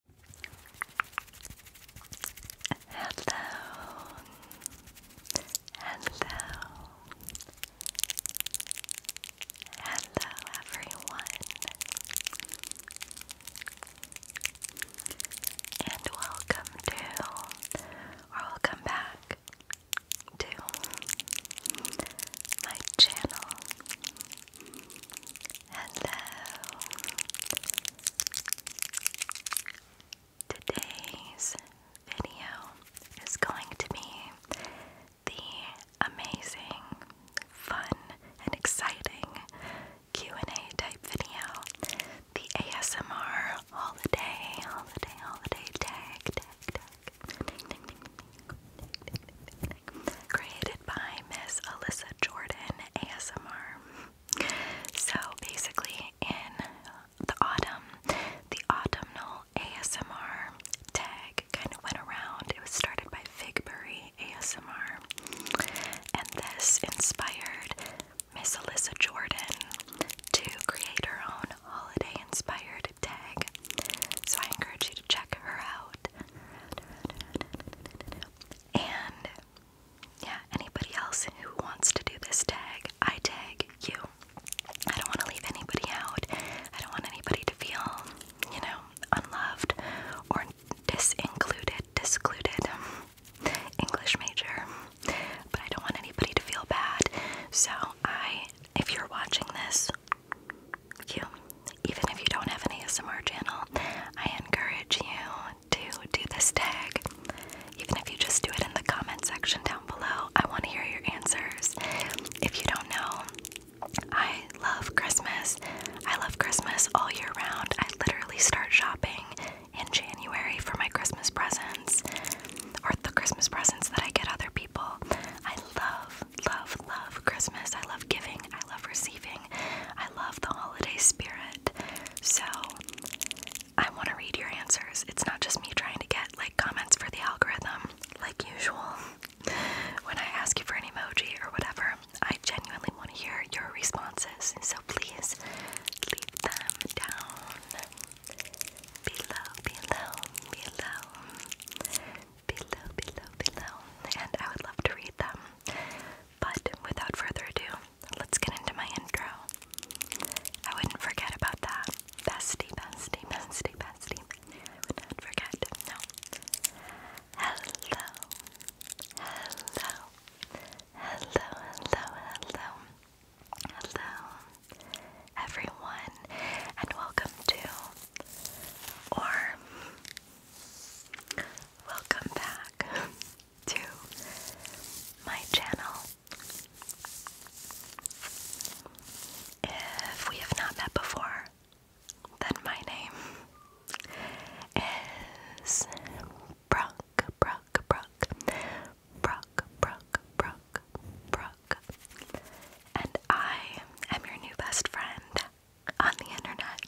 Hello, hello, hello, everyone, and welcome to, or welcome back to my channel. Hello. Today's video is going to be the amazing, fun, and exciting Q&A type video. The ASMR holiday, holiday, holiday tag, tag, tag. Created by Miss Alyssa Jordan ASMR. So basically, in the autumn, the autumnal ASMR tag kind of went around. It was started by Figbury ASMR, and this inspired Miss Alyssa Jordan to create her own holiday inspired tag. So I encourage you to check her out. And yeah, anybody else who wants to do this tag, I tag you. I don't want to leave anybody out. I don't want anybody to feel, you know, unloved or disincluded, discluded. English major. But I don't want anybody to feel bad. So I if you're watching this, you even if you don't have an ASMR channel, I encourage you want do this tag, even if you just do it in the comment section down below, I want to hear your answers. If you don't know, I love Christmas. I love Christmas all year round. I literally start shopping in January for my Christmas presents or the Christmas presents that I get other people. I love, love, love Christmas. I love giving. I love receiving. I love the holiday spirit. So I want to read your answers. It's not just me trying to get like comments for the algorithm, like usual. When I ask you for an emoji or whatever, I genuinely want to hear your responses. So please leave them down below, below, below, below, below, below. And I would love to read them. But without further ado, let's get into my intro. I wouldn't forget about that. Bestie, bestie, bestie, bestie. I would not forget. No. Hello. Hello. Hello, hello, hello. Hello, everyone, and welcome to or welcome back to my channel. If we have not met before, then my name is Brock, Brock, Brock, Brock, Brock, Brock, Brock, and I am your new best friend on the internet.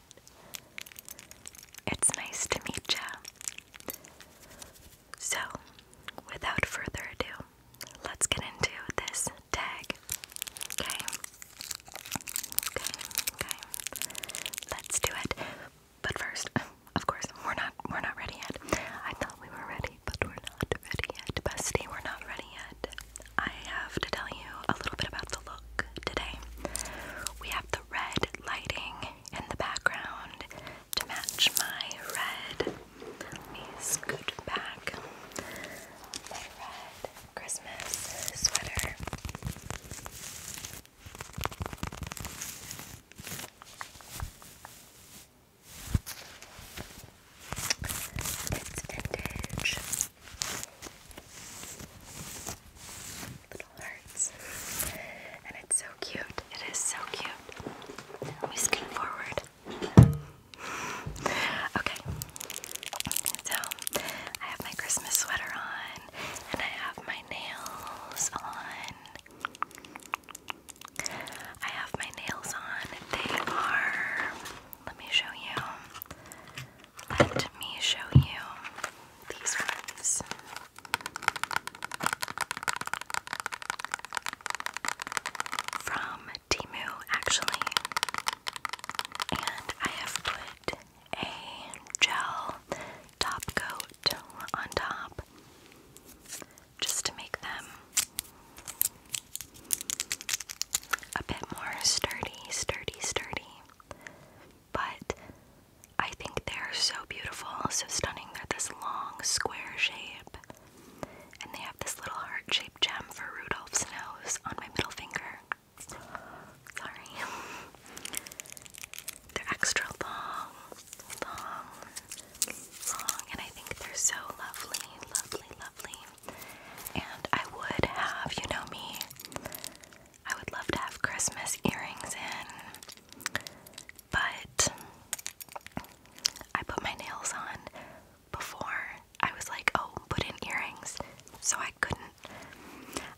It's nice to meet you. So, without further ado, let's get into this tag. Okay. Okay, okay. Let's do it. But first, of course, we're not we're not ready yet. I thought we were ready, but we're not ready yet. Bestie, we're not ready yet. I have to tell you a little bit about the look today. We have the red lighting in the background to match my red. Let me my red Christmas sweater. It's vintage. And it's so cute. It is so cute. Let me scoot forward. Okay, so I have my Christmas sweater on, and I have my nails on. I have my nails on. They are, let me show you. Let me show you these ones. From Timu, actually. And I have put a gel top coat on top just to make them a bit more sturdy, sturdy, sturdy but I think they're so beautiful, so stunning. They're this long square shape, and they have this little heart shaped gem for Rudolph's nose on my middle finger. Sorry. They're extra long, long, long, and I think they're so lovely, lovely, lovely. And I would have, you know me, I would love to have Christmas earrings in, but I put my nails on before I was like, oh, put in earrings. So I couldn't.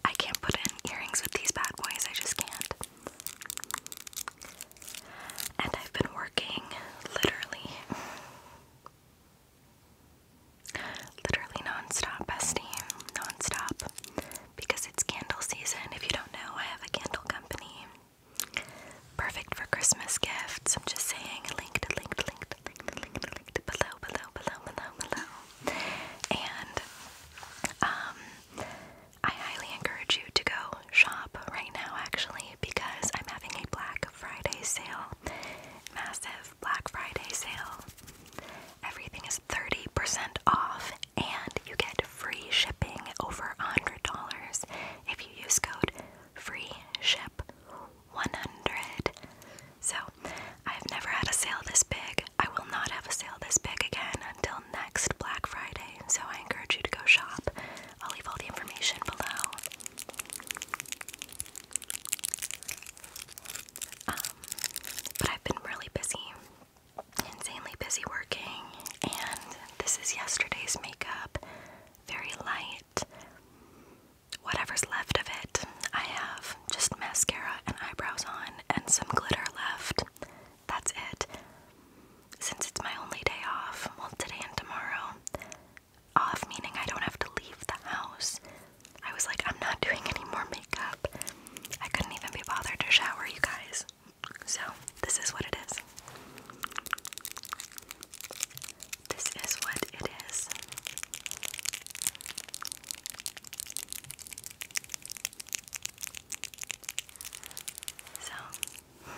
I can't put in earrings with these bad boys, I just can't. And I've been working literally, literally non stop, bestie, non stop because it's candle season. If you don't know, I have a candle company. Perfect for Christmas gifts. I'm just saying. Linked, linked, linked, linked, linked, linked below, below, below, below, below. And um, I highly encourage you to go shop right now, actually, because I'm having a Black Friday sale, massive Black Friday sale. Everything is 30% off and you get free shipping over $100 if you use code Free Ship 100 So, I've never had a sale this big. I will not have a sale this big again until next Black Friday, so I encourage you to go shop. I'll leave all the information below. Um, but I've been really busy insanely busy working, and this is yesterday's makeup. Very light. Whatever's left of it, I have just mascara and eyebrows on and some glitter left. That's it. Since it's my only day off, well, today and tomorrow, off meaning I don't have to leave the house, I was like, I'm not doing any more makeup. I couldn't even be bothered to shower you guys. So, this is what it is. This is what it is. So,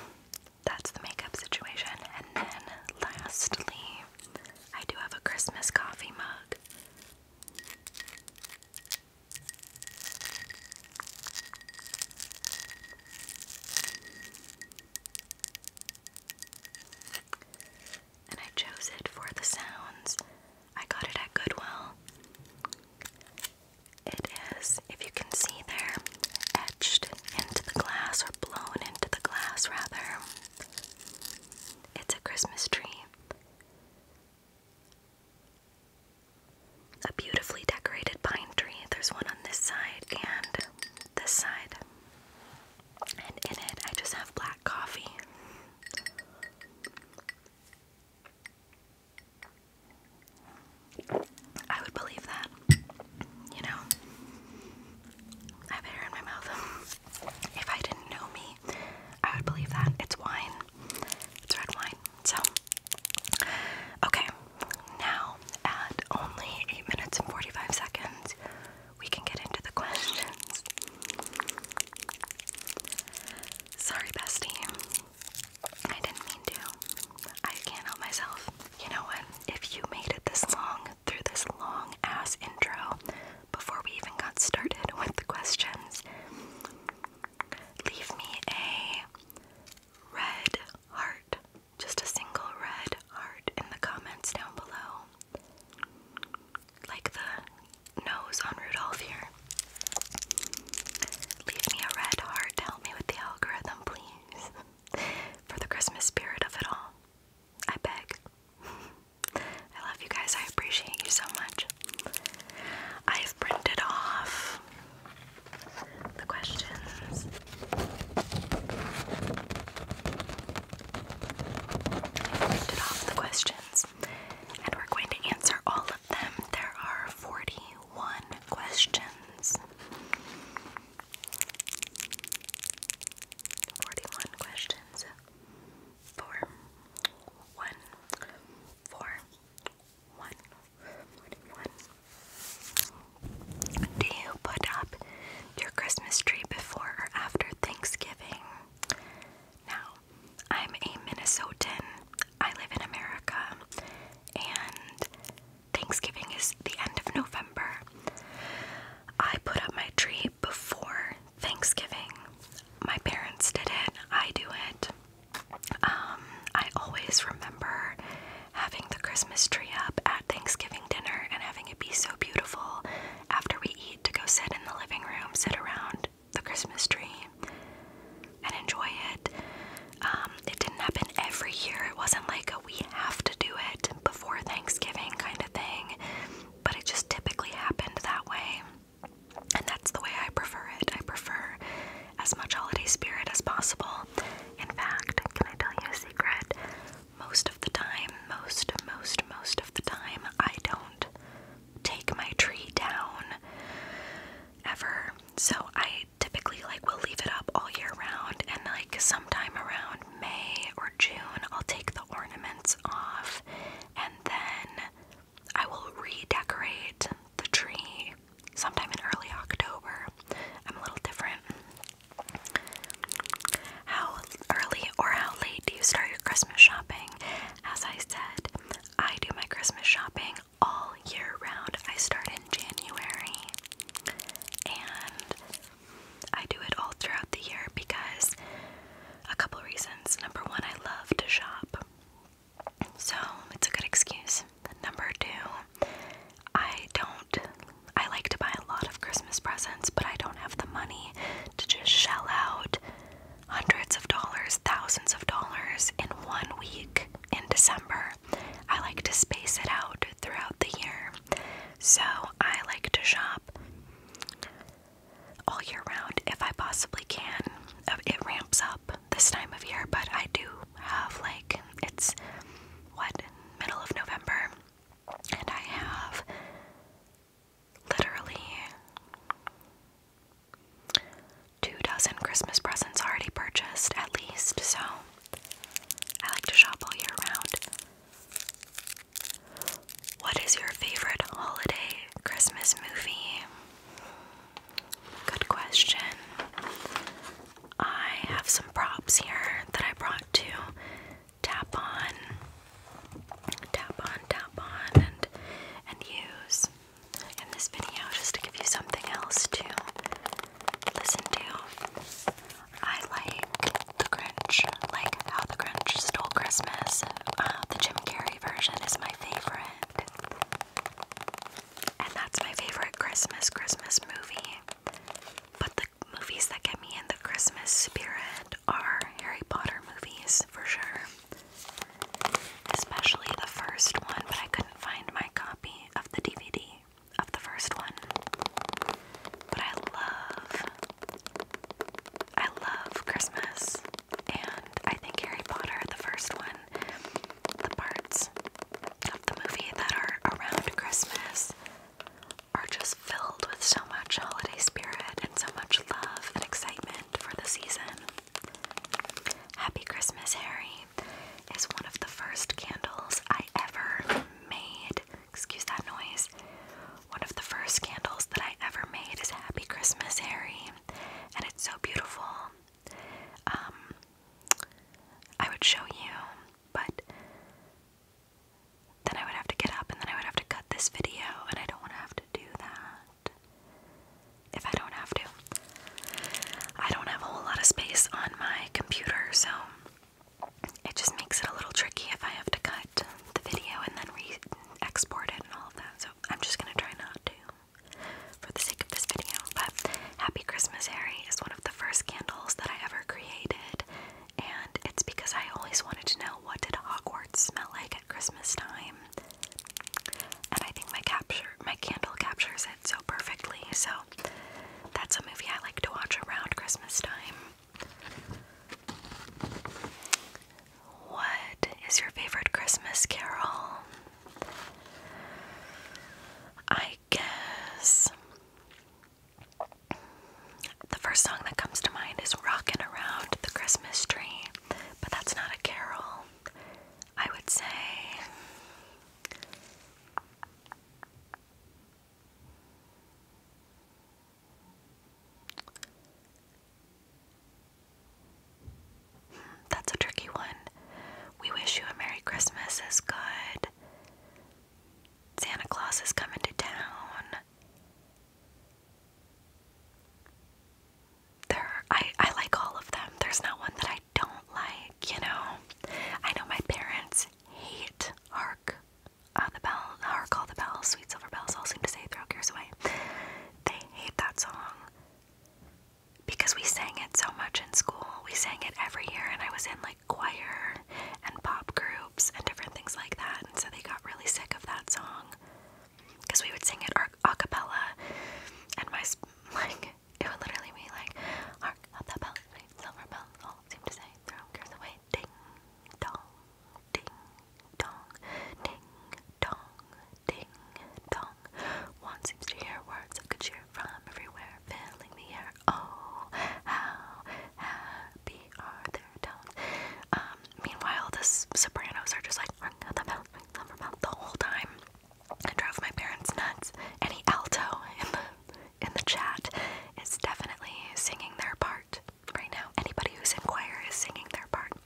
that's the makeup situation. And then, lastly, I do have a Christmas coffee mug. And I chose it for the sounds. I got it at Goodwill. It is, if you can see there, etched into the glass or blown into the glass rather. It's a Christmas tree. A beautifully decorated pine tree. There's one on this side and this side. And in it, I just have black coffee. I would believe that. You know, I have hair in my mouth. If I didn't know me, I would believe that. It's wine. It's red So, okay, now at only 8 minutes and 45 seconds, we can get into the questions. Sorry, bestie. I didn't mean to. I can't help myself. You know what? If you made it this long, through this long ass intro, before we even got started with the questions, leave me a red heart, just a single red heart in the comments down below. Like the nose on Rudolph here. Leave me a red heart to help me with the algorithm, please. For the Christmas spirit of it all. I beg. I love you guys. I appreciate you so much. I've printed off the questions. printed off the questions, and we're going to answer all of them. There are 41 questions. 41 questions four, one, four, one, one. Do you put up your Christmas tree before or after Thanksgiving? Now, I'm a Minnesotan. I live in America, and Thanksgiving is the end of November. I put up my tree before Thanksgiving. My parents did it, I do it. Um, I always remember having the Christmas tree up at Thanksgiving dinner and having it be so beautiful after we eat to go sit in the living room, sit around the Christmas tree and enjoy it. Um, it didn't happen every year. It wasn't like a we have to do it before Thanksgiving kind of thing, but it just typically happened that way. And that's the way I prefer it. I prefer as much holiday spirit as possible. In fact, can I tell you a secret? Most of the time, most, most, most of the time, I don't take my tree down ever. So I typically like will leave it up all year round and like sometime around May or June I'll take the ornaments off and then I will redecorate the tree sometime in early October. I'm a little different. How early or how late do you start your Christmas shopping? As I said, I do my Christmas shopping all year round. I start in January and I do it all throughout the year because a couple reasons. Number one, I love to shop. So it's a good excuse. Number two, I don't, I like to buy a lot of Christmas presents, but I don't have the money to just shell out hundreds of dollars, thousands of dollars in one week in December. I like to space it out throughout the year. So I like to shop all year round if I possibly can. Uh, it ramps up this time of year, but I do have like it's what middle of November, and I have literally two dozen Christmas presents already purchased at least. So I like to shop all year round. What is your favorite holiday Christmas movie? Good question. I have some props here that I brought to tap on, tap on, tap on, and and use in this video just to give you something else to listen to. I like The Grinch, like How the Grinch Stole Christmas. Uh, the Jim Carrey version is my favorite. And that's my favorite Christmas Christmas movie. But the movies that get me in the Christmas spirit are Harry Potter movies for sure. Especially the first one, but I couldn't find my copy of the DVD of the first one. But I love I love Christmas and I think Harry Potter, the first one, the parts of the movie that are around Christmas are just filled with so much holiday spirit and so much love and excitement for the season. Happy Christmas, Harry is one of the first candles I ever made. Excuse that noise. One of the first candles that I ever made is Happy Christmas, Harry. And it's so beautiful um, I would show you, but then I would have to get up and then I would have to cut this video, and I don't want to have to do that if I don't have to. I don't have a whole lot of space on my computer, so it just makes it a little tricky if I have to cut the video and then re export it and all of that. So I'm just going to try not to for the sake of this video, but Happy Christmas Harry is one of the first candles that I ever created, and it's because I always wanted to know what did Hogwarts smell like at Christmas time. And I think my capture my candle captures it so perfectly, so that's a movie I like to watch around Christmas time. What is your favorite Christmas carol? I guess the first song that comes to mind is Rockin' Around the Christmas Tree, but that's not a carol. I would say. That's a tricky one. We wish you a Merry Christmas is good. Santa Claus is coming to town. There, I I like all of them. There's not one that I don't like. You know, I know my parents hate Hark, uh, the bell, Hark all the bells, sweet silver bells, all seem to say throw cares away. They hate that song because we sang it so much in school. We sang it every year, and I was in like choir and pop groups and different things like that. And so they got really sick of that song because we would sing it a cappella, and my like it would literally be like hark out the bell, silver bells all seem to say throw cares away, ding dong, ding dong, ding dong, ding, dong. One seems to hear words of good cheer from everywhere, filling the air. Oh, how happy are their tones. Um, meanwhile, the sopranos are just like, ring the bell, ring the bell, the whole time. It drove my parents nuts. Any alto in the, in the chat is definitely singing their part right now. Anybody who's choir is singing their part.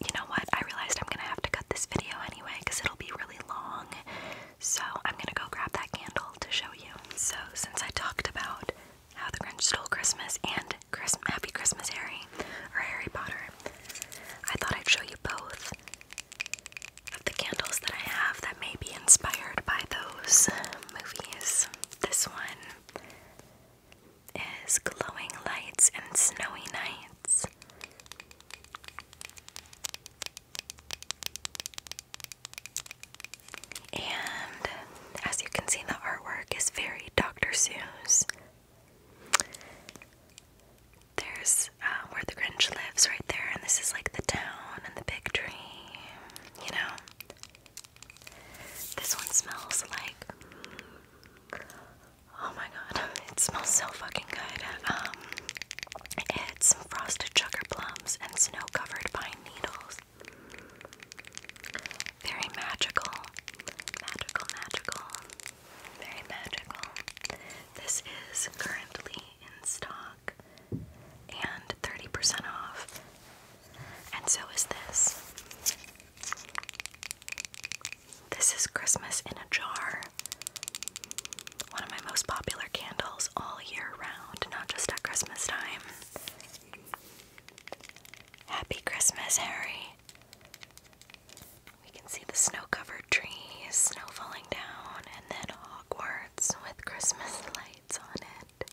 You know what? I realized I'm gonna have to cut this video anyway because it'll be really long. So I'm gonna go grab that candle to show you. So since I talked about how the Grinch stole Christmas and Christmas, Happy Christmas Harry or Harry Potter, I thought I'd show you both of the candles that I have that may be inspired by those movies. This one is Glowing Lights and Snowy Nights. And as you can see, the artwork is very Dr. Seuss. There's um, where the Grinch lives right there, and this is like the town and the big tree, you know. This one smells like Oh my god, it smells so fucking good. Um, it's frosted sugar plums and snow covered pine needles. Very magical. Magical, magical. Very magical. This is currently in stock and 30% off. And so is this. This is Christmas in a Jar. One of my most popular candles all year round, not just at Christmas time. Happy Christmas, Harry. We can see the snow covered trees, snow falling down, and then Hogwarts with Christmas lights on it.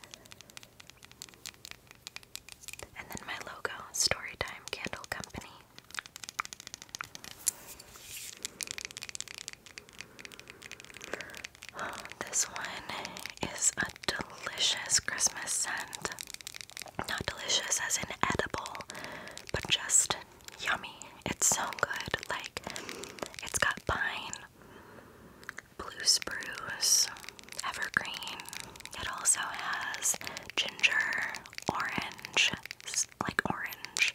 And then my logo, Storytime Candle Company this one is a delicious Christmas scent. Not delicious as in edible, but just yummy. It's so good. Like, it's got pine, blue spruce, evergreen. It also has ginger, orange, like orange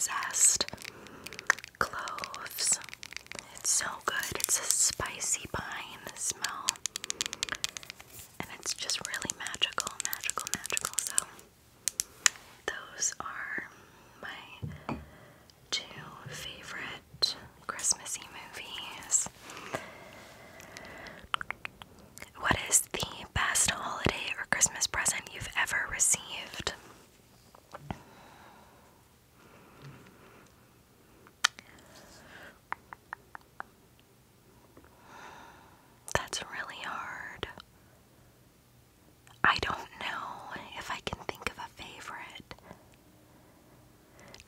zest, cloves. It's so good. It's a spicy pine smell. And it's just really magical, magical, magical. So, those are my two favorite Christmassy movies. What is the best holiday or Christmas present you've ever received? That's really hard. I don't know if I can think of a favorite.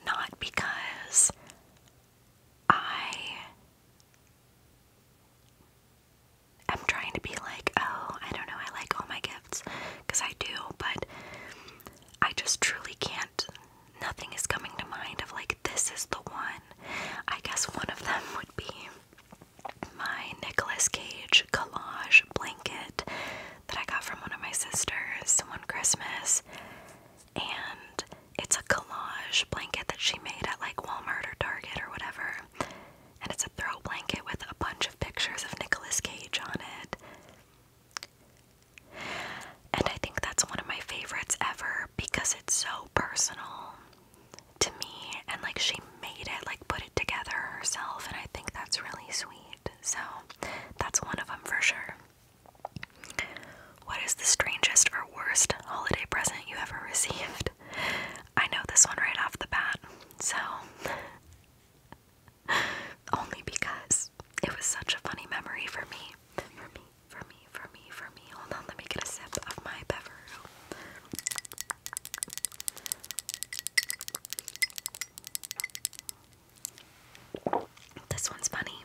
Not because I I'm trying to be like, oh, I don't know, I like all my gifts because I do, but I just truly can't. Nothing is coming to mind of like, this is the one. I guess one of them would be my Nicolas Cage collage blanket that I got from one of my sisters one Christmas. And it's a collage blanket that she made at like Walmart or Target or whatever. And it's a throw blanket with a bunch of pictures of Nicolas Cage on it. And I think that's one of my favorites ever because it's so personal to me. And like she made it, like put it together herself. And I think that's really sweet. So that's one of them for sure. What is the strangest or worst holiday present you ever received? I know this one right off the bat, so only because it was such a funny memory for me. For me, for me, for me, for me. Hold on, let me get a sip of my beverage. This one's funny.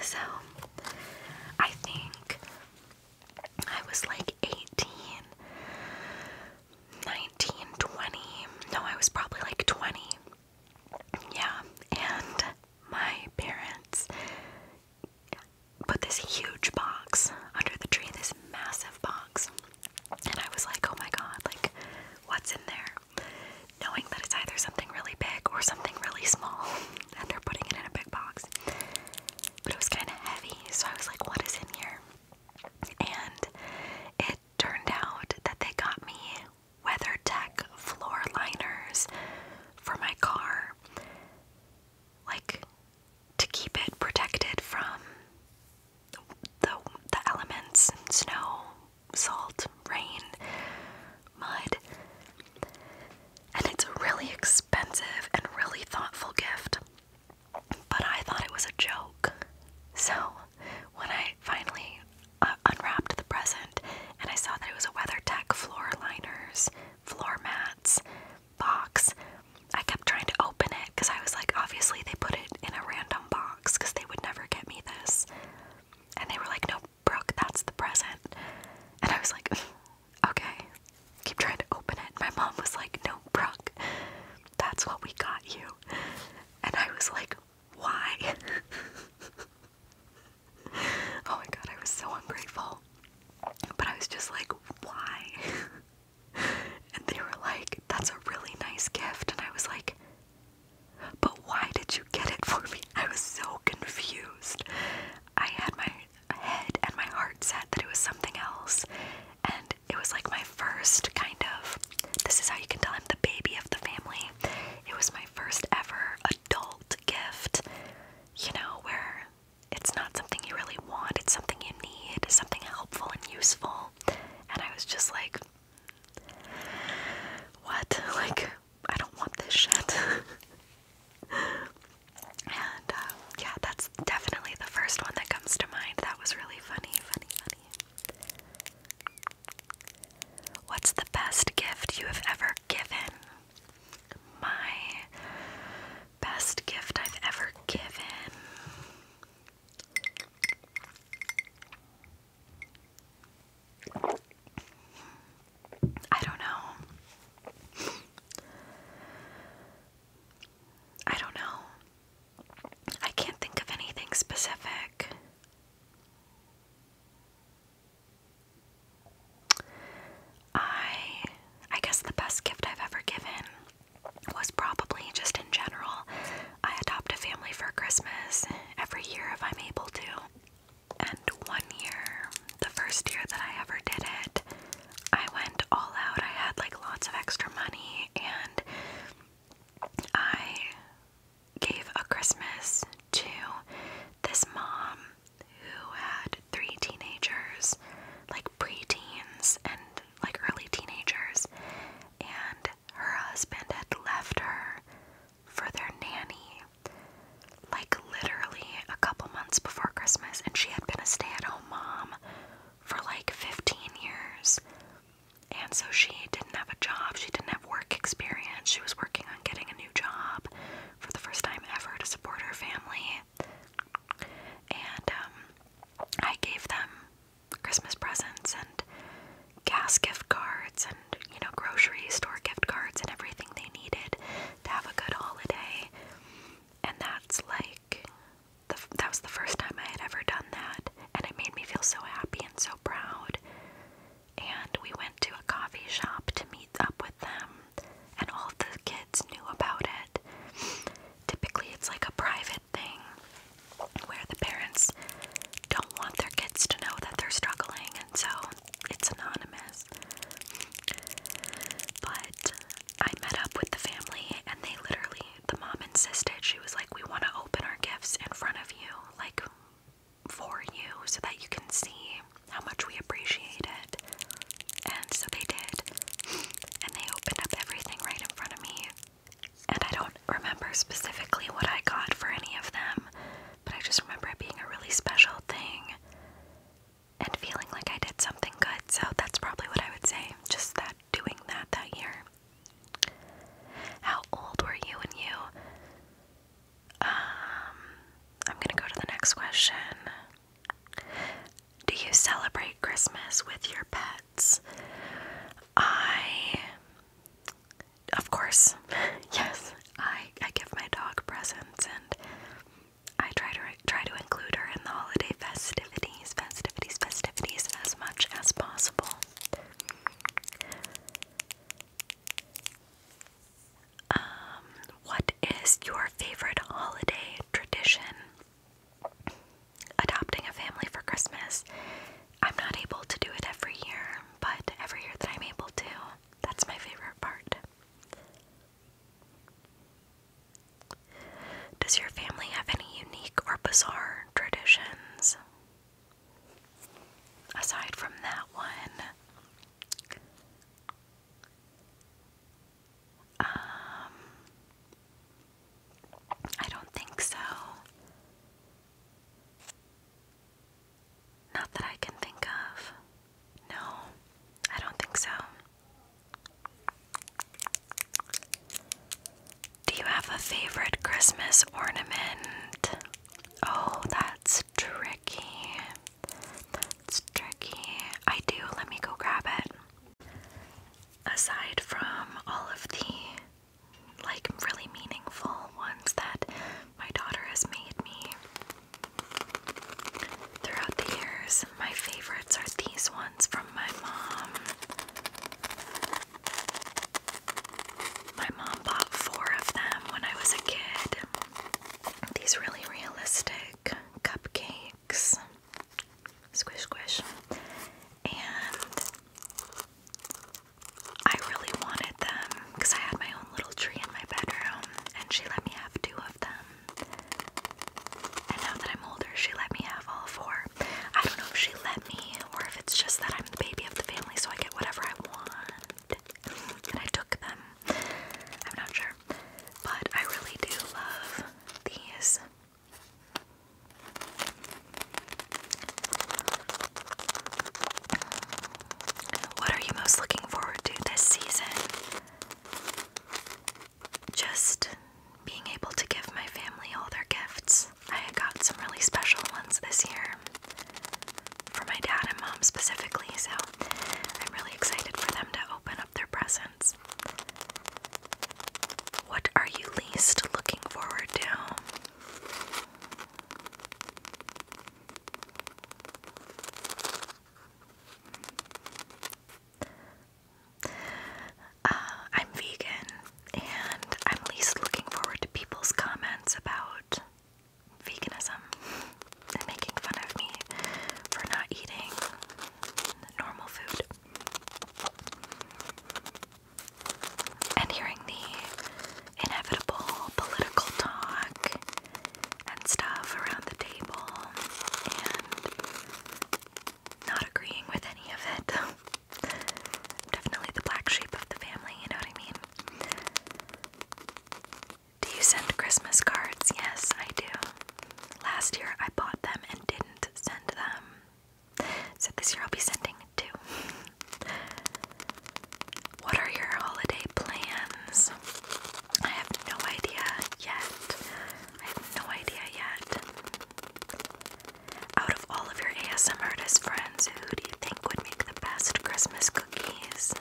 So, I think I was like 18, 19, 20. No, I was probably like 20. Yeah, and my parents put this huge box under the tree, this massive box. And I was like, oh my god, like, what's in there? Knowing that it's either something really big or something really small, and they're putting it in a big box but it was kind of heavy, so I was like, what is in here? And it turned out that they got me WeatherTech floor liners for my car, like to keep it protected from the, the elements snow, salt, rain, mud. And it's a really expensive and really thoughtful gift. But I thought it was a joke. So when I finally uh, unwrapped the present and I saw that it was a WeatherTech floor liners, floor mats box, I kept trying to open it because I was like, obviously they put it in a random box because they would never get me this. And they were like, no, Brooke, that's the present. And I was like, Okay. Keep trying to open it. My mom was like, No, Brooke, that's what we got you. And I was like, Why? oh my god, I was so ungrateful. But I was just like, Why? and they were like, That's a really nice gift. And I was like, But why did you get it for me? I was so confused. I had my head and my heart said that it was something else. And it was like my first kind of this is how you can tell I'm the baby of the family. It was my first ever adult gift, you know, where it's not something you really want, it's something you need, something helpful and useful. And I was just like, what? Like, I don't want this shit. And uh, yeah, that's definitely the first one that comes to mind. That was really funny, funny, funny. What's the best gift you have ever given? My best gift I've ever given. I don't know. I don't know. I can't think of anything specific. I I guess the best gift I've ever given was probably just in general. I adopt a family for Christmas every year if I'm able to. And one year, the first year that I ever did it, I went all out. I had like lots of extra money and I gave a Christmas to this mom who had three teenagers, like preteens and like early teenagers, and her husband had left her for their nanny like literally a couple months before Christmas, and she had been a stay at home mom for like 15 years. And so she didn't have a job, she didn't have work experience. She was working on getting a new job for the first time ever to support her family. And um, I gave them Christmas presents and gas gift cards and, you know, grocery store gift cards and everything they needed to have a good holiday and that's like the, that was the first time I had ever done that, and it made me feel so happy and so proud. And we went to a coffee shop to meet up with them, and all the kids knew about it. Typically, it's like a private thing where the parents don't want their kids to know that they're struggling, and so it's anonymous. But I met up with the family, and they literally, the mom insisted, she was like, We want to open our gifts in front of you, like for you, so that you can see how much we appreciate it. And so they did. And they opened up everything right in front of me. And I don't remember specifically what I got for any of them, but I just remember it being a really special thing and feeling like I did something good. So that's probably what I would say. Just that doing that that year. How old were you and you? Um, I'm going to go to the next question. Do you celebrate Christmas with your pets? I of course. yes. I I give my dog presents and I try to try to include her in the holiday festivities, festivities, festivities as much as possible. Um, what is your favorite holiday tradition? Adopting a family for Christmas. I'm not able to do it every year, but every year that I'm able to, that's my favorite part. Does your family have any unique or bizarre traditions? Aside from that one, um, I don't think so. Not that I can think of. No, I don't think so. Do you have a favorite Christmas ornament? Oh, that's tricky. That's tricky. I do. Let me go grab it. Aside from all of the like really meaningful ones that my daughter has made me, Throughout the years, my favorites are these ones from my mom. My mom bought four of them when I was a kid. These really realistic cupcakes. Squish, squish. And I really wanted them because I had my own little tree in my bedroom and she let me have two of them. And now that I'm older, she let me have all four. I don't know if she let me or if it's just that I'm the baby of the family, so I get whatever I want. And I took them. I'm not sure. But I really do love these. What are you most looking forward to this season? just being able to give my family all their gifts. I got some really special ones this year for my dad and mom specifically, so I'm really excited for them to open up their presents. What are you least looking forward to? Uh, I'm vegan and I'm least looking forward to people's comments about veganism and making fun of me for not eating normal food. And hearing the inevitable political talk and stuff around the table not agreeing with any of it. i definitely the black sheep of the family, you know what I mean? Do you send Christmas cards? Yes, I do. Last year I bought them and didn't send them. So this year I'll be sending two. What are your holiday plans? I have no idea yet. I have no idea yet. Out of all of your ASM artist friends, who do you think would make the best Christmas cookies?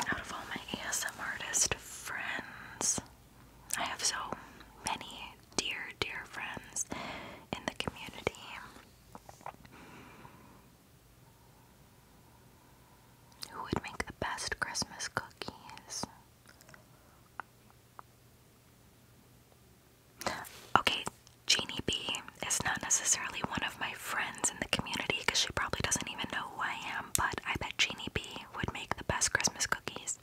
out of all my ASM artist friends, I have so many dear, dear friends in the community. Who would make the best Christmas cookies? Okay, Jeannie B is not necessarily one of my friends in the community because she probably doesn't even know who I am, but I bet Jeannie B would make the best Christmas cookies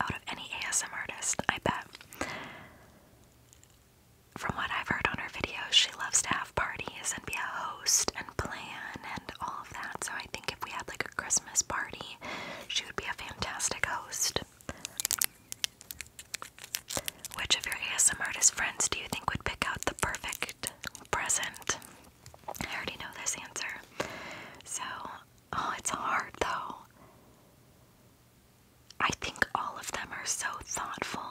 out of any ASM artist, I bet. From what I've heard on her videos, she loves to have parties and be a host and plan and all of that. So I think if we had like a Christmas party, she would be a fantastic host. Which of your ASM artist friends do you think would pick out the perfect present? I already know this answer. So, oh, it's hard though. I think all of them are so thoughtful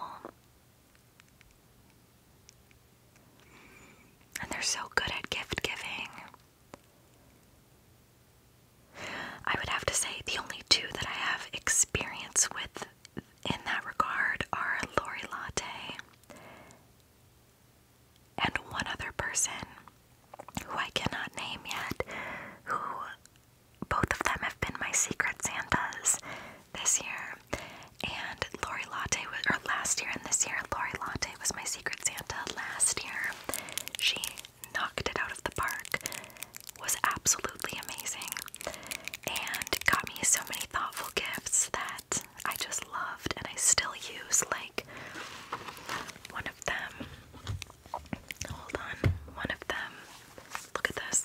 and they're so good at gift giving. I would have to say the only two that I have experience with in that regard are Lori Latte and one other person who I cannot name yet, who both of them have been my secret Santas this year and Lori Latte was, or last year and this year, Lori Latte was my Secret Santa last year. She knocked it out of the park, was absolutely amazing, and got me so many thoughtful gifts that I just loved and I still use. Like, one of them, hold on, one of them, look at this.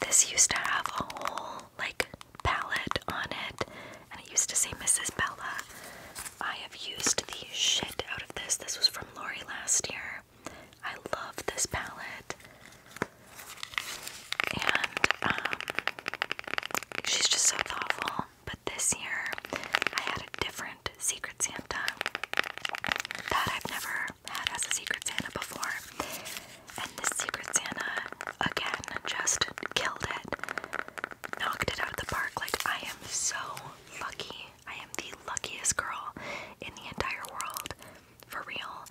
This used to have a whole like palette on it, and I used to say Mrs. Bella. I have used the shit out of this. This was from Lori last year. I love this palette. And um, she's just so thoughtful. But this year, I had a different Secret Santa that I've never had as a Secret Santa before. And the Secret Santa, again, just killed it. Knocked it out of the park. Like, I am so lucky. I am the luckiest girl in the entire world. For real.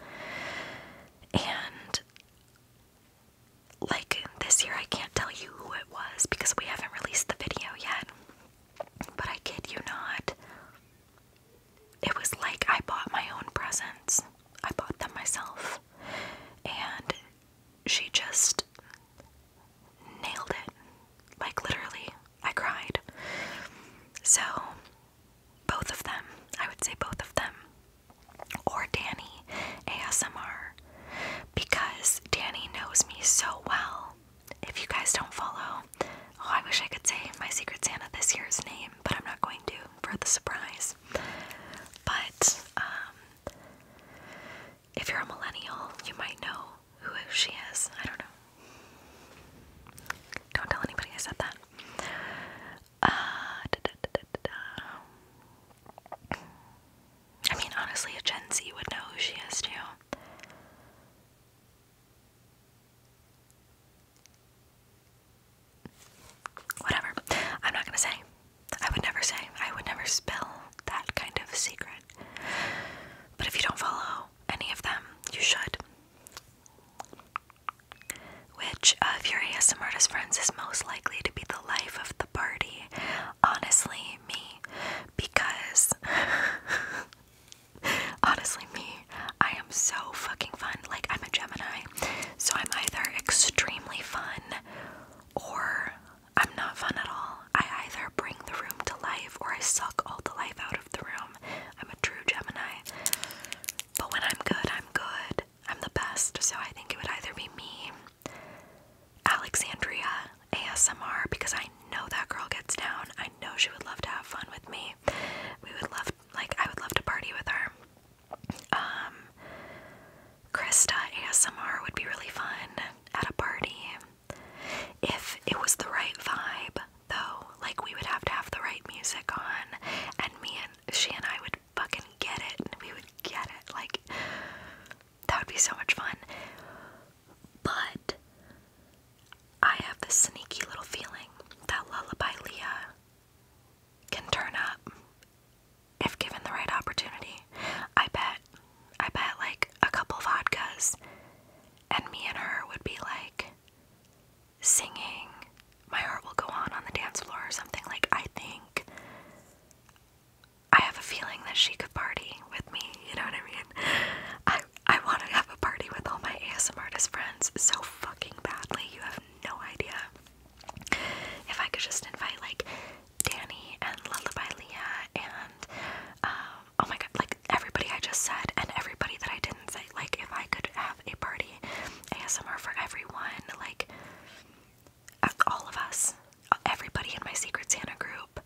And, like, this year I can't tell you who it was because we haven't released the video yet. But I kid you not, it was like I bought my own presents. I bought them myself. And she just nailed it. Like, literally, I cried. So, both of them, I would say both of them, or Danny ASMR, because Danny knows me so well. If you guys don't follow, oh, I wish I could say my Secret Santa this year's name, but I'm not going to for the surprise. But um, if you're a millennial, you might know who she is. I don't know. Don't tell anybody I said that. Uh, I mean, honestly, a Gen Z would know who she is too. Whatever. I'm not gonna say. I would never say. I would never spill that kind of secret. But if you don't follow any of them, you should. Which of your ASM artist friends is most likely to be the life of the party? Honestly, me. Because. Honestly, me. I so fucking fun. Like, I'm a Gemini, so I'm either extremely fun or I'm not fun at all. I either bring the room to life or I suck all the life out of the room. I'm a true Gemini. But when I'm good, I'm good. I'm the best, so I think it would either be me, Alexandria, ASMR, because I know that girl gets down. I know she would love to have fun with me. We would love, like, I would love to party with her. Um, Krista ASMR would be really fun at a party. If it was the right vibe, though, like we would have to have the right music on, and me and she and I would fucking get it, and we would get it. Like, that would be so much fun. But I have this sneaky little feeling that Lullaby Leah can turn up if given the right opportunity. I bet, I bet like a couple vodkas, and me and her would be like singing My Heart Will Go On on the dance floor or something. Like, I think I have a feeling that she could party with me, you know what I mean? I, I want to have a party with all my ASM artist friends so fucking badly, you have no idea. If I could just invite like Danny and Lullaby Leah and um, oh my god, like everybody I just said and everybody that I didn't say, like if I could have a party ASMR for everyone, like all of us, everybody in my Secret Santa group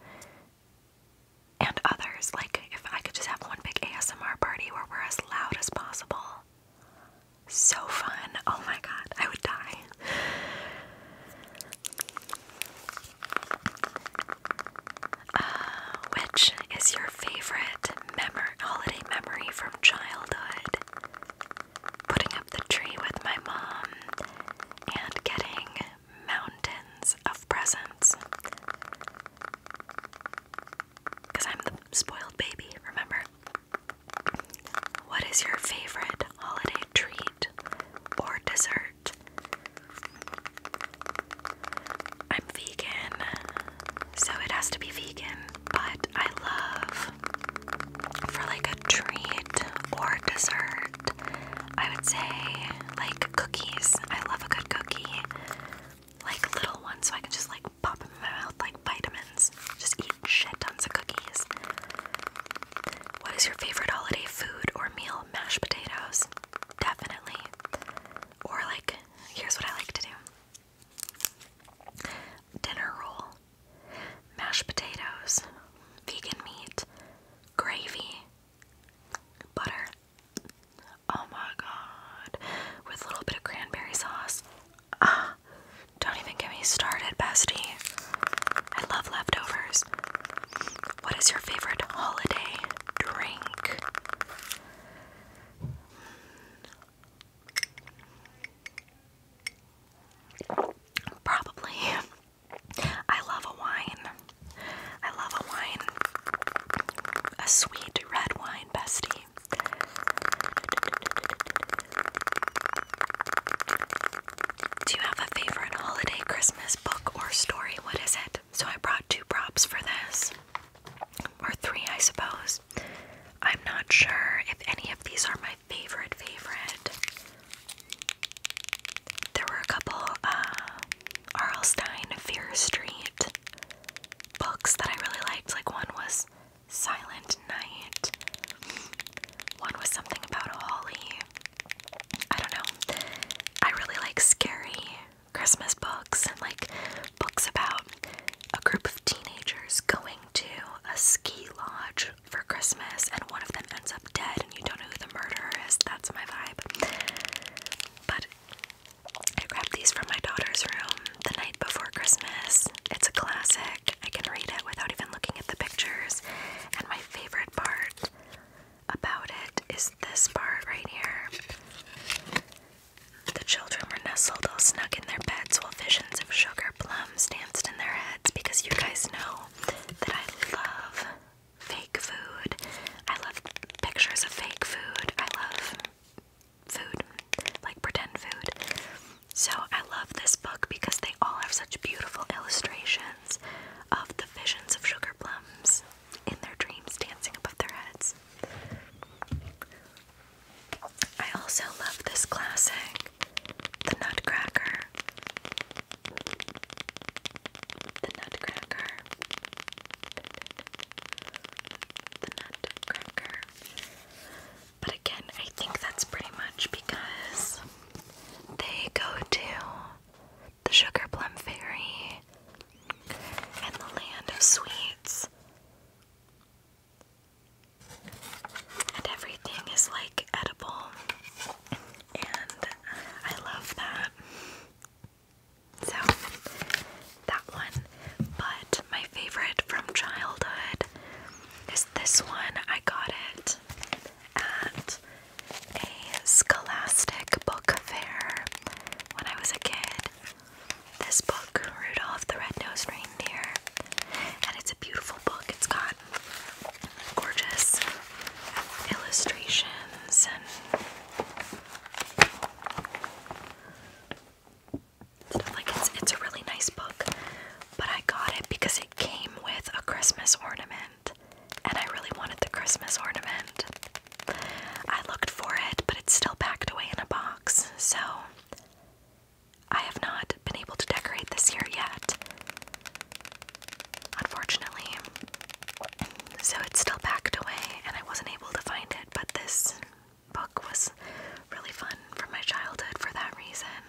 and others, like if I could just have one big ASMR party where we're as loud as possible. So fun. Oh my god, I would die. Uh, which is your favorite memory holiday memory from childhood? Putting up the tree with my mom and getting mountains of presents. Because I'm the spoiled baby, remember? What is your favorite holiday treat or dessert? I'm vegan, so it has to be vegan, but I love for like a treat or dessert, I would say like cookies. I love a good cookie, like little ones, so I can just like pop in my mouth like vitamins. Just eat shit tons of cookies. What is your favorite holiday food or meal? Mashed potatoes. Definitely. Or, like, here's what I like to do dinner roll, mashed potatoes, vegan meat, gravy, butter. Oh my god. With a little bit of cranberry sauce. Ah, don't even get me started, bestie. I love leftovers. What is your favorite holiday drink? Probably. I love a wine. I love a wine. A sweet red wine, bestie. Do you have a favorite holiday Christmas book or story? What is it? So I brought two props for this. Or three, I suppose. I'm not sure if any of these are my favorite favorite. There were a couple uh Arlstein Fear Street books that I really liked. Like one was Silent Night. One was something about Holly. I don't know. I really like scary Christmas books and like books about a group of teenagers going to a ski lodge for Christmas and one of them ends up dead and you don't know who the murderer is. That's my vibe. But I grabbed these from my daughter's room the night before Christmas. It's a classic. I can read it without even looking at the pictures. And my favorite part about it is this part right here. The children were nestled all snug in their beds while visions of sugar plums danced in their heads because you guys know that I love fake food. I love pictures of fake food. I love food, like pretend food. So I love this book because they all have such beautiful illustrations of the visions of sugar plums in their dreams dancing above their heads. I also love this classic, The Nutcracker. The Nutcracker. The Nutcracker. But again, I think that's pretty much because they go to the Sugar Plum Fairy and the Land of Sweets. And everything is like edible. And I love that. So, that one. But my favorite from childhood this one. I got it at a Scholastic book fair when I was a kid. This book, Rudolph the Red-Nosed Reindeer, and it's a beautiful book. It's got gorgeous illustrations and like it's it's a really nice book, but I got it because it came with a Christmas ornament, and I really wanted the Christmas ornament. I looked for it, but it's still packed away in a box, so I have not been able to decorate this year yet. Unfortunately. So it's still packed away and I wasn't able to find it, but this book was really fun from my childhood for that reason.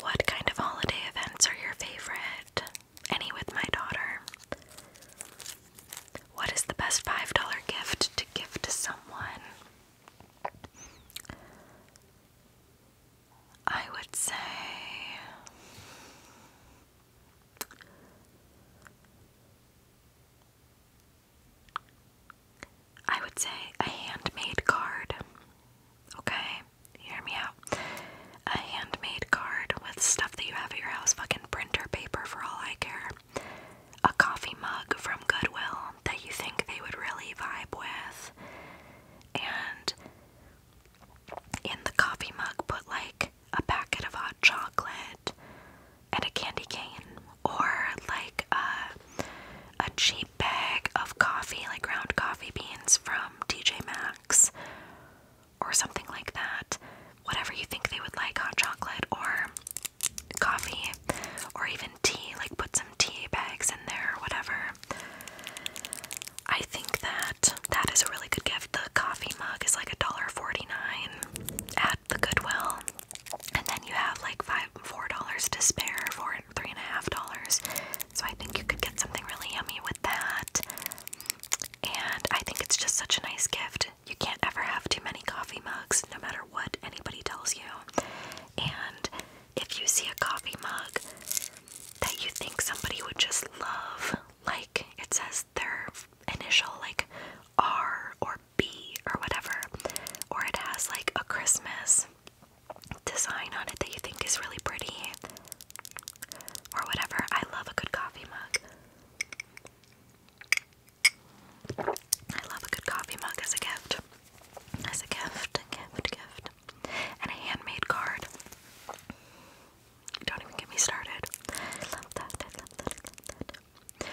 What kind of holiday events are your favorite? Any with my daughter. What is the best $5 gift to give to someone? I would say I would say a handmade card. Okay? Hear me out. A handmade card with stuff that you have at your house, fucking printer paper for all I care. A coffee mug from Goodwill that you think they would really vibe with. And in the coffee mug, put like a packet of hot chocolate and a candy cane, or like a, a cheap bag of coffee, like ground coffee beans from TJ Max, or something like that. Whatever you think they would like hot chocolate or coffee, or even tea, like put some tea bags in there, or whatever. I think that that is a really good gift. The coffee mug is like $1.49 at the Goodwill. And then you have like five four dollars to spare for three and a half dollars. So I think you could get something really yummy with that. And I think it's just such a nice gift. You can't ever have too many coffee mugs, no matter what anybody tells you. And if you see a coffee mug that you think somebody would just love, like it says their initial like R or B or whatever, or it has like a Christmas design on it that you think is really pretty or whatever. I love a good coffee mug. I love a good coffee mug as a gift. As a gift, gift, gift. And a handmade card. Don't even get me started. love that. love that. love that.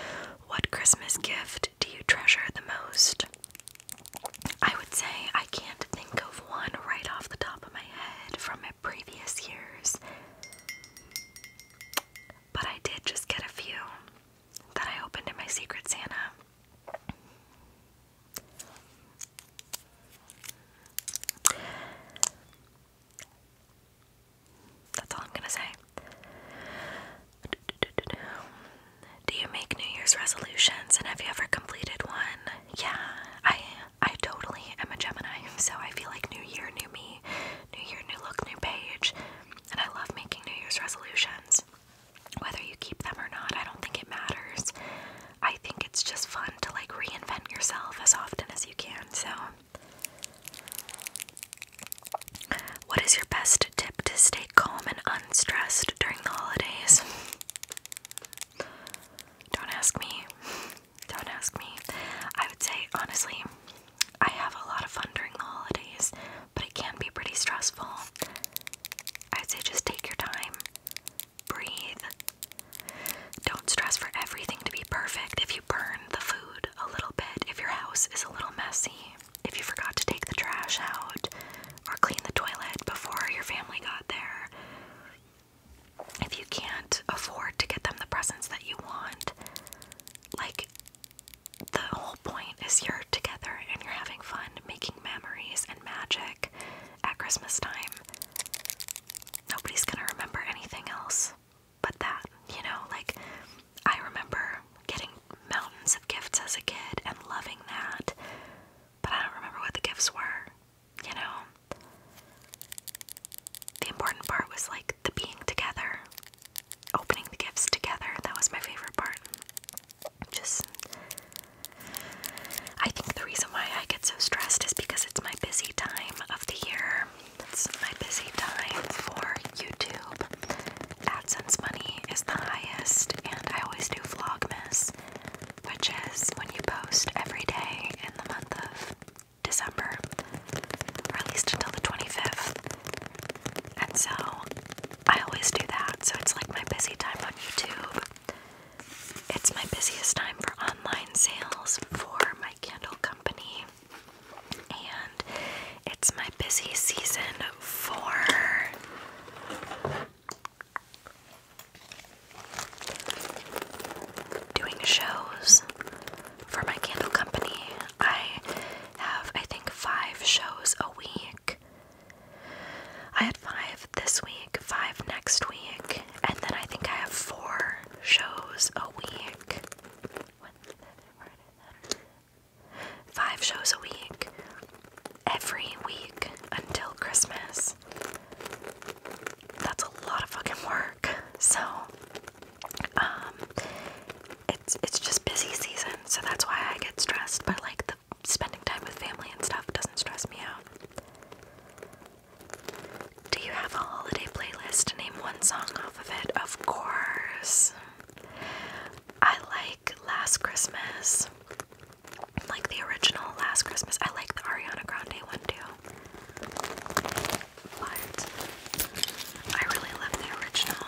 What Christmas gift do you treasure the most? I would say I can't think of one right off the top of my head from my previous years. But I did just get a few that I opened in my Secret Santa. That's all I'm gonna say. Do you make New Year's resolutions and have you ever completed one? Yeah, I I totally am a Gemini, so I feel like new year, new me, new year, new look, new page. And I love making New Year's resolutions. Whether you keep them or not, I don't think it matters. I think it's just fun to like reinvent yourself as often as you can. So, what is your best tip to stay calm and unstressed during the holidays? Don't ask me. Don't ask me. I would say, honestly, I have a lot of fun during the holidays, but it can be pretty stressful. I would say just take your time, breathe, don't stress for everything to be perfect. If you burn the food a little bit, if your house is a little messy, if you forgot to take the trash out or clean the toilet before your family got there, if you can't afford to get them the presents that you want, like the whole point is you're together and you're having fun making memories and magic at Christmas time nobody's gonna remember anything else but that, you know? Like, I remember getting mountains of gifts as a kid and loving that, but I don't remember what the gifts were, you know? The important part was like the being together, opening the gifts together. That was my favorite part. Just, I think the reason why I get so stressed is because it's my busy time the year. It's my busy time for YouTube. AdSense money is the highest, and I always do Vlogmas, which is when you post every day in the month of December, or at least until the 25th. And so I always do that, so it's like my busy time on YouTube. It's my busiest time for online sales for my Candle Company, and it's my busy season for doing shows for my candle company. I have, I think, five shows a week. I had five this week, five next week, and then I think I have four shows a week. Five shows a week. Every week until Christmas. That's a lot of fucking work. So, um, it's it's just busy season, so that's why I get stressed. But like the spending time with family and stuff doesn't stress me out. Do you have a holiday playlist? Name one song off of it. Of course. I like Last Christmas. Like the original Last Christmas. I like the Ariana Grande one too. But I really love the original.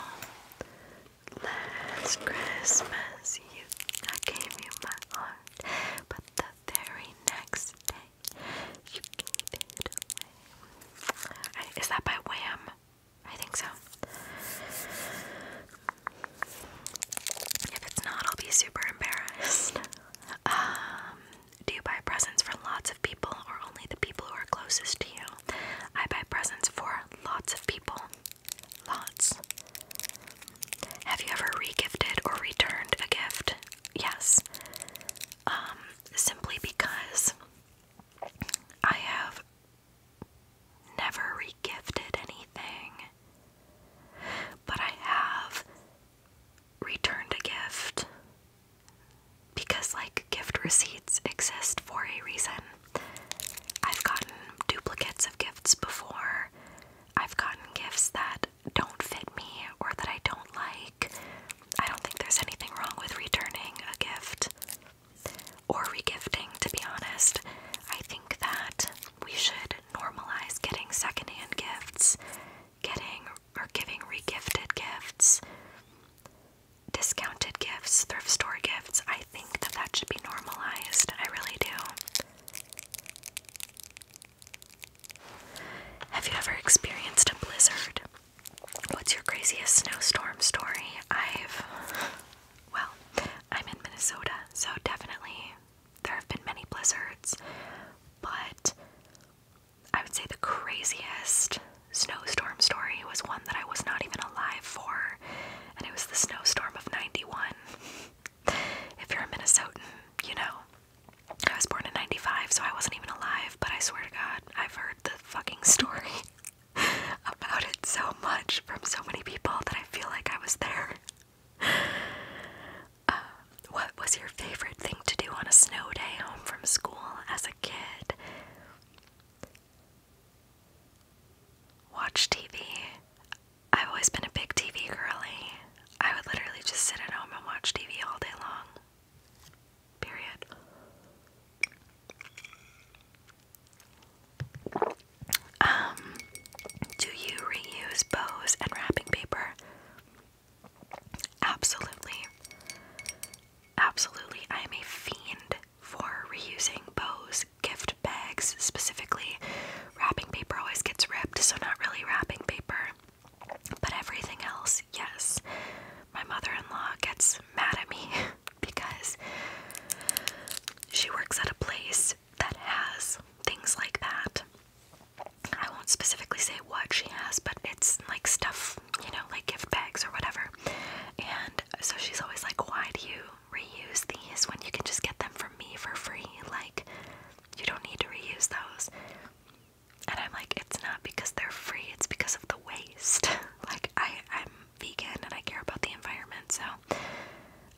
Last Christmas, you I gave you my heart, but the very next day, you gave is that by Wham? I think so. If it's not, I'll be super embarrassed. Um, do you buy presents for lots of people or only the people who are closest to you? I buy presents for lots of people. Lots. Have you ever regifted or returned a gift? Yes. Um, simply because I have never regifted anything, but I have returned a gift because, like, gift receipts exist for a reason. I've gotten duplicates of gifts before. I've gotten gifts that don't fit me or that I don't like, I don't think there's anything wrong with returning a gift or regifting, to be honest. I think that we should normalize getting secondhand gifts, getting or giving regifted gifts, discounted gifts, thrift store gifts. I think that that should be normalized. I really do. Have you ever experienced a blizzard? What's your craziest snowstorm story? I've. Well, I'm in Minnesota, so definitely there have been many blizzards, but I would say the craziest snowstorm story was one that I was not even alive for, and it was the snowstorm of 91. if you're a Minnesotan, you know. I was born in 95, so I wasn't even alive, but I swear to God, I've heard the fucking story about it so much from so many people that I feel like I was there. Uh, what was your favorite thing to do on a snow day home from school as a kid? Watch TV. I've always been a big TV girly. I would literally just sit at home and watch TV all day long. Period. Um, do you reuse bows and wrapping paper? Absolutely. Absolutely. I am a fiend for reusing bows, gift bags specifically. Wrapping paper always gets ripped, so not really wrapping paper. But everything else, yes. My mother in law gets mad at me because she works at a place that has things like that. I won't specifically say what she has, but it's like stuff, you know, like gift bags or whatever. And so she's always like, Why do you reuse these when you can just get them from me for free? Like, you don't need to reuse those. And I'm like, it's not because they're free, it's because of the waste. like I, I'm vegan and I care about the environment, so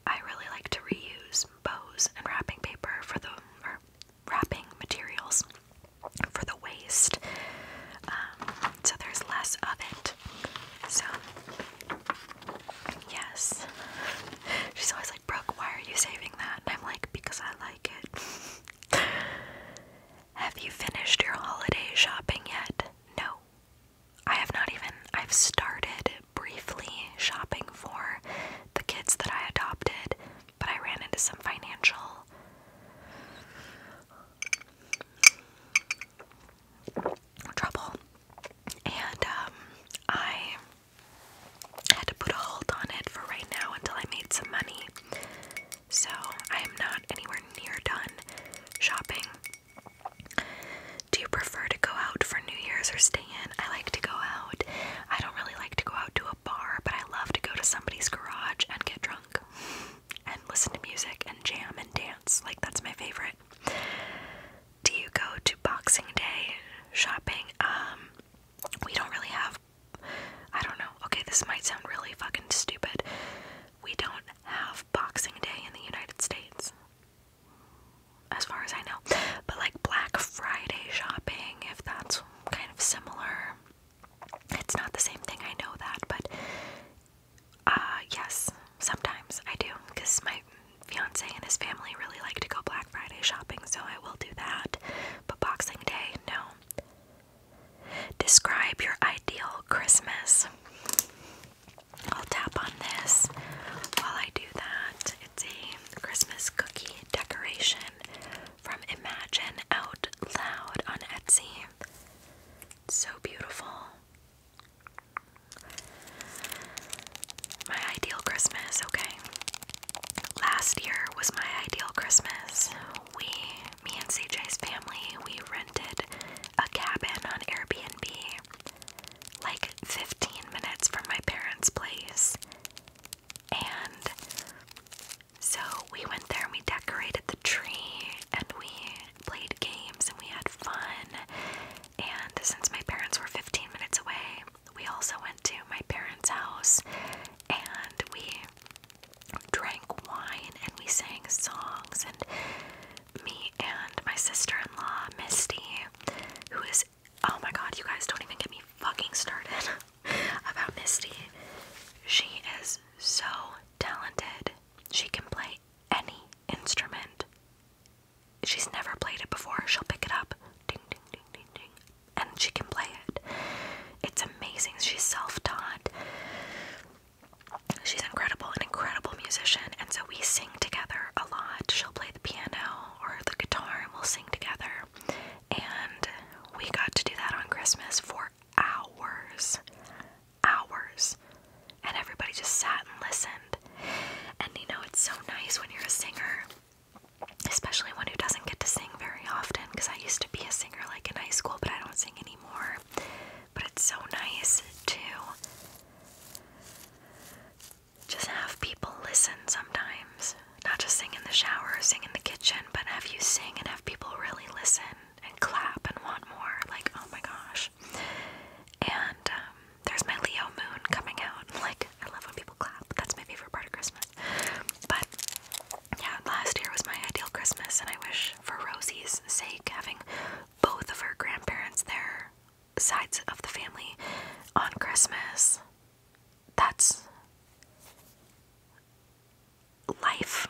I really like to reuse bows and wrapping paper for the wrapping materials for the waste. Um, so there's less of it. So yes. She's always like, Brooke, why are you saving that? And I'm like, because I like it have you finished your holiday shopping yet? No. I have not even, I've started briefly shopping for the kids that I adopted, but I ran into some financial. Trouble, and um, I I had to put a hold on it for right now until I made some money. So I am not anywhere near done shopping. Do you prefer to go out for New Year's or stay in? I like to go out. I don't really like to go out to a bar, but I love to go to somebody's garage and get drunk and listen to music and jam and dance. Like, that's my favorite. Do you go to Boxing Day shopping? Um, we don't really have I don't know. Okay, this might sound really fucking stupid. We don't have Boxing Day in the United States. As far as I know. But like Black Friday shopping, if that's kind of similar. It's not the same thing, I know that, but uh yes, sometimes I do because my fiance and his family really like to go Black Friday shopping, so I will do that. But Boxing Day, no. Describe your ideal Christmas. I'll tap on this while I do that. It's a Christmas cookie decoration from Imagine Out Loud on Etsy. so beautiful. My ideal Christmas, okay. Last year was my ideal Christmas we, me and CJ's family, we rented a cabin on Airbnb like 15 minutes from my parents' place. And so we went there and we decorated the tree and we played games and we had fun. And since my parents were 15 minutes away, we also went to my parents' house and we drank wine and we sang songs and me and my sister-in-law Misty who is oh my god you guys don't even get me fucking started about Misty she is so talented she can play any instrument she's never played it before she'll pick it up ding ding ding ding ding and she can play it. It's amazing. She's self-taught. She's incredible, an incredible musician, and so we sing together a lot. She'll play the piano or the guitar, and we'll sing together. And we got to do that on Christmas for hours, hours, and everybody just sat and listened. And you know, it's so nice when you're a singer especially one who doesn't get to sing very often because I used to be a singer like in high school, but I don't sing anymore. But it's so nice to just have people listen sometimes. Not just sing in the shower, sing in the kitchen, but have you sing and have people really listen and clap and want more. Like, oh my gosh. And um, there's my Leo moon coming out. Like, I love when people clap. That's my favorite part of Christmas. But yeah, last year was my ideal Christmas, and I wish for Rosie's sake, having both of her grandparents, there, sides of the family, on Christmas. That's life.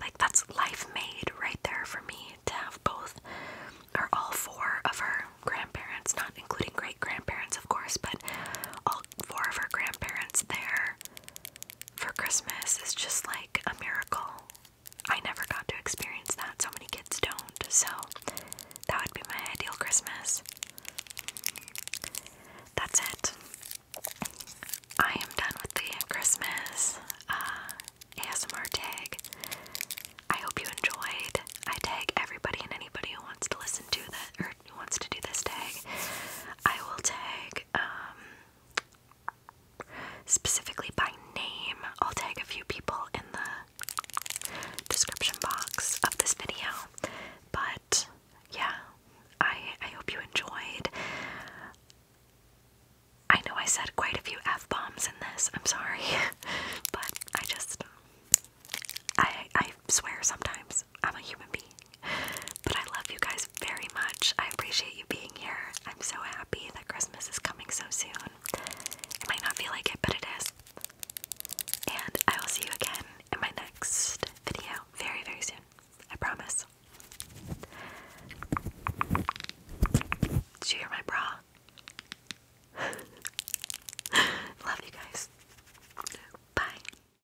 Like, that's life made right there for me to have both or all four of her grandparents, not including great grandparents, of course, but all four of her grandparents there for Christmas is just like a miracle. I never got to experience that. So many kids don't. So that would be my ideal Christmas. That's it. I am done with the Christmas uh, ASMR tag. I hope you enjoyed. I tag everybody and anybody who wants to listen to that who wants to do this tag, I will tag um, specifically by name. I'll tag a few people in the description box of this video. But yeah, I I hope you enjoyed. I know I said quite a few f bombs in this. I'm sorry, but I just I I swear sometimes I'm a human being. But I love you guys very much. I appreciate you being here. I'm so happy that Christmas is coming so soon. It might not feel like it, but it is. And I will see you again in my next video very, very soon. I promise. Did you hear my bra? Love you guys. Bye.